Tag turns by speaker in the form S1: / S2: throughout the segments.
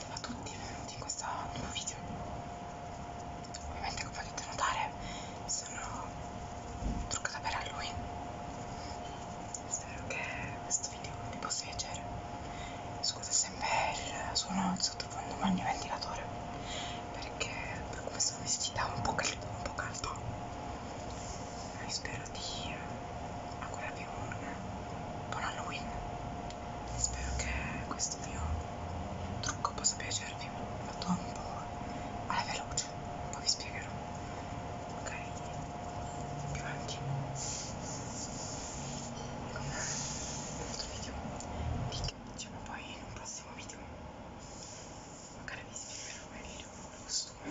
S1: Ciao a tutti, benvenuti in questo nuovo video. Ovviamente come potete notare sono truccata per Halloween. Spero che questo video vi possa piacere. Scusa sempre il suono di sottofondo ma il mio ventilatore perché per come sono vestita un po' caldo, un po' caldo. Spero di augurarvi un buon Halloween spero che questo mio trucco possa piacervi l'ho fatto un po' alla veloce poi vi spiegherò ok più avanti con un altro video vi diciamo poi in un prossimo video magari vi spiegherò meglio il costume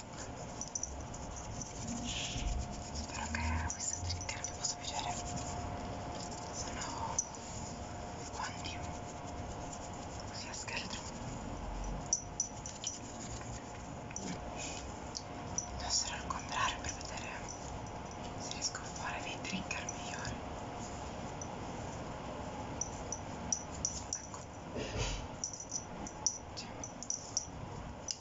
S1: spero che questa trigger vi possa piacere sono guanti così a scheletro devo essere al contrario per vedere se riesco a fare dei trigger migliori ecco cioè,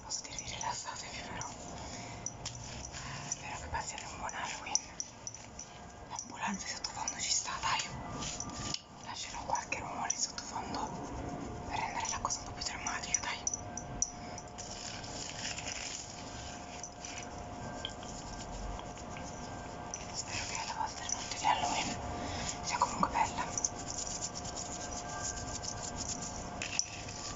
S1: posso dirvi rilassatevi però eh, spero che passiate un buon Halloween l'ambulanza di sottofondo ci sta dai lascerò qualche rumore di sottofondo per rendere la cosa un po' più drammatica dai spero che la vostra notte di Halloween sia comunque bella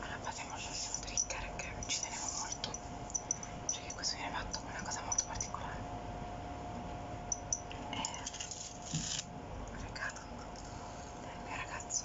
S1: Allora passiamo all'ultimo trigger che ci tenevo molto perché questo viene fatto con una cosa molto particolare è eh, un regalo del mio ragazzo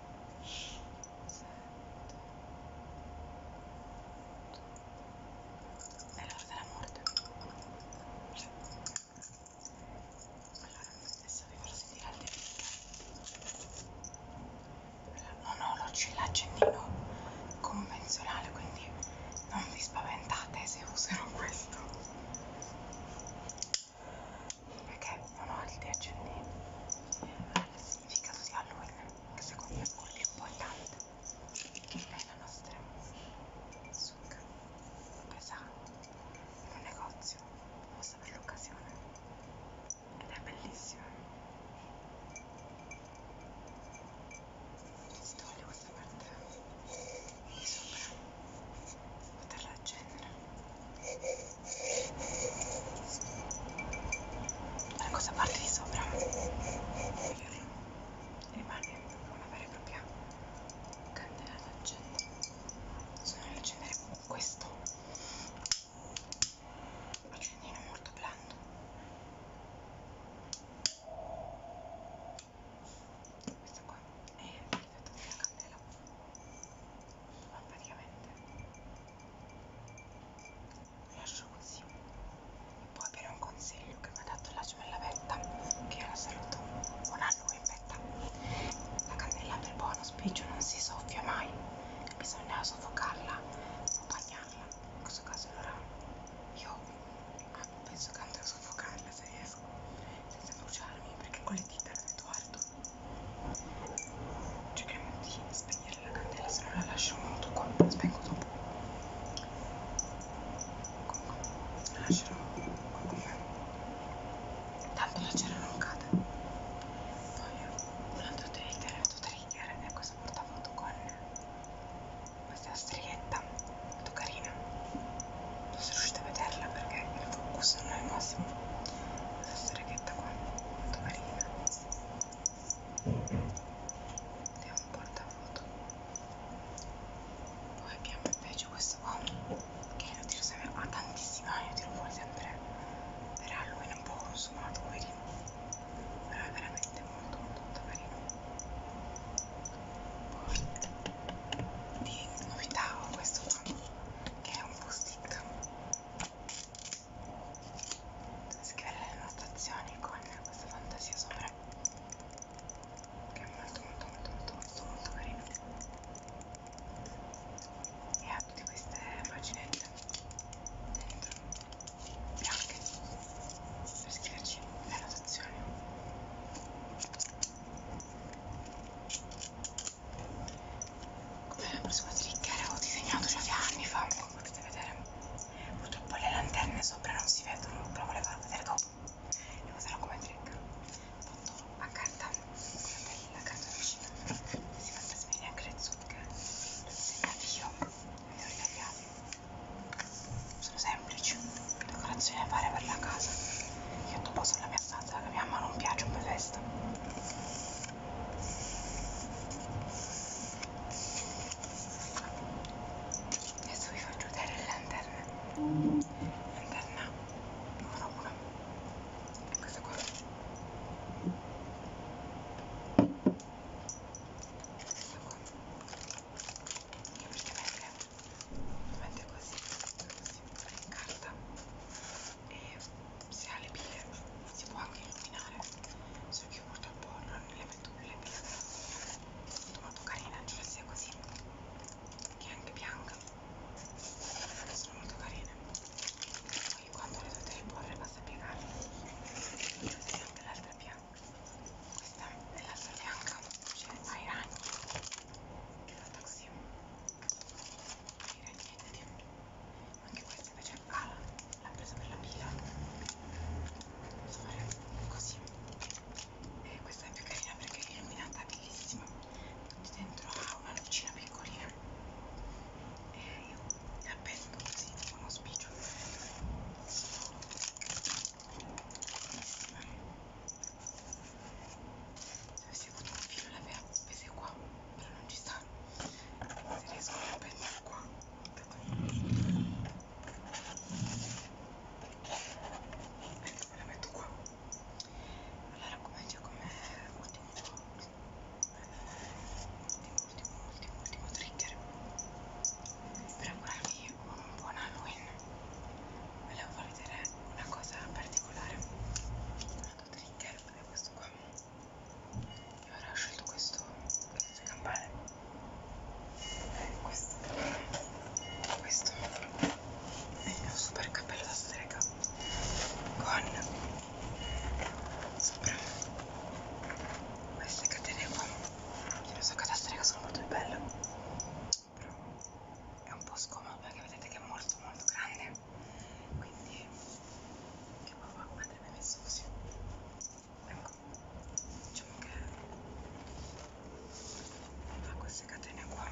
S1: è l'ora della morte allora adesso vi farò sentire al delicato non ho l'accendino convenzionale quindi non vi spaventate se userò questo perché non ho l'idea accendente eh, il significato di Halloween che secondo me è molto importante nella nostra succa presa in un negozio posta per l'occasione ed è bellissimo si toglie questa parte di sopra poterla accendere la cosa parte di sopra rimane una vera e propria candela da accendere sono ad accendere questo accendino molto blando questa qua è il della candela ma praticamente lo lascio così e poi per un consiglio che mi ha dato la gemella Betta che io la saluto buon anno in Betta la candela del buono spiccio non si soffia mai bisogna soffocarla accompagnarla in questo caso allora io ah, penso che andrò a soffocarla se è riesco senza bruciarmi perché con le dita non guardo cerchiamo di spegnere la candela se no la lascio molto qua la spengo dopo comunque la lascerò qua con me tanto la cera non cade poi un altro trigger un altro trigger è questo portafoto con questa strietta molto carina non sono riuscita a vederla perché il focus non è il massimo questa streghetta qua molto carina è un portafoto poi abbiamo invece questo qua che lo tiro sempre a tantissimi anni lo tiro fuori sempre per Halloween un po' consumato poverino però è veramente molto molto, molto carino poi di novità ho questo qua che è un post-it scrivere le notazioni con questa fantasia sopra che è molto molto molto molto molto, molto carino e ha tutte queste paginette dentro bianche per scriverci le notazioni Beh, la prossima trick l'avevo disegnato già anni fa, come potete vedere. Purtroppo le lanterne sopra non si vedono, però volevo vedere dopo. Le userò come trick. Fatto a carta, con la carta vicina. Si fa trasferire anche le zucche. Segna io, li ho ritagliati. Sono semplici decorazione da fare per la casa io dopo sulla mia stanza che mia mamma non piace un festa adesso vi faccio vedere le lanterne lanterna numero 1 è questa qua questa qua che praticamente lo mette così, si incarta e se ha le pile si può anche illuminare solo che purtroppo non le metto più le pile molto molto carina cioè sia così che è anche bianca sono molto carine poi quando le dovete riporre basta piegarle così anche l'altra bianca questa è l'altra bianca cioè ai ragni anche la taxi non niente di anche questa invece è cara l'ha presa per la pila posso fare così e questa è più carina perché è illuminata bellissima tutti dentro ha una lucina piccolina e io la penso così tipo uno spiccio bellissima cioè, se avessi avuto un filo le avevo appese qua però non ci sta se riesco a appendere qua ecco me la metto qua allora comincio come ultimo ultimo ultimo ultimo, ultimo trigger per ancora anche un buon Halloween volevo farvi vedere una cosa particolare un trigger è questo qua io ora ho scelto questo senza campare questo questo è il mio super cappello da strega con sopra queste catene qua che non so che da strega sono molto belle però è un po' scomodo perché vedete che è molto molto grande quindi che papà andrebbe messo così ecco diciamo che fa queste catene qua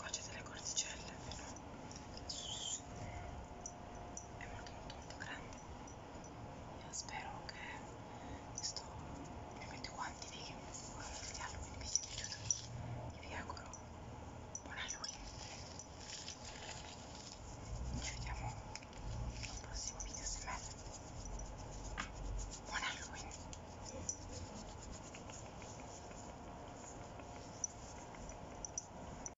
S1: qua c'è delle cordicelle però è molto molto molto grande Yo espero que esto realmente cuantifique el Halloween que llevo yo y día coro por Halloween. Yo llamo el próximo fin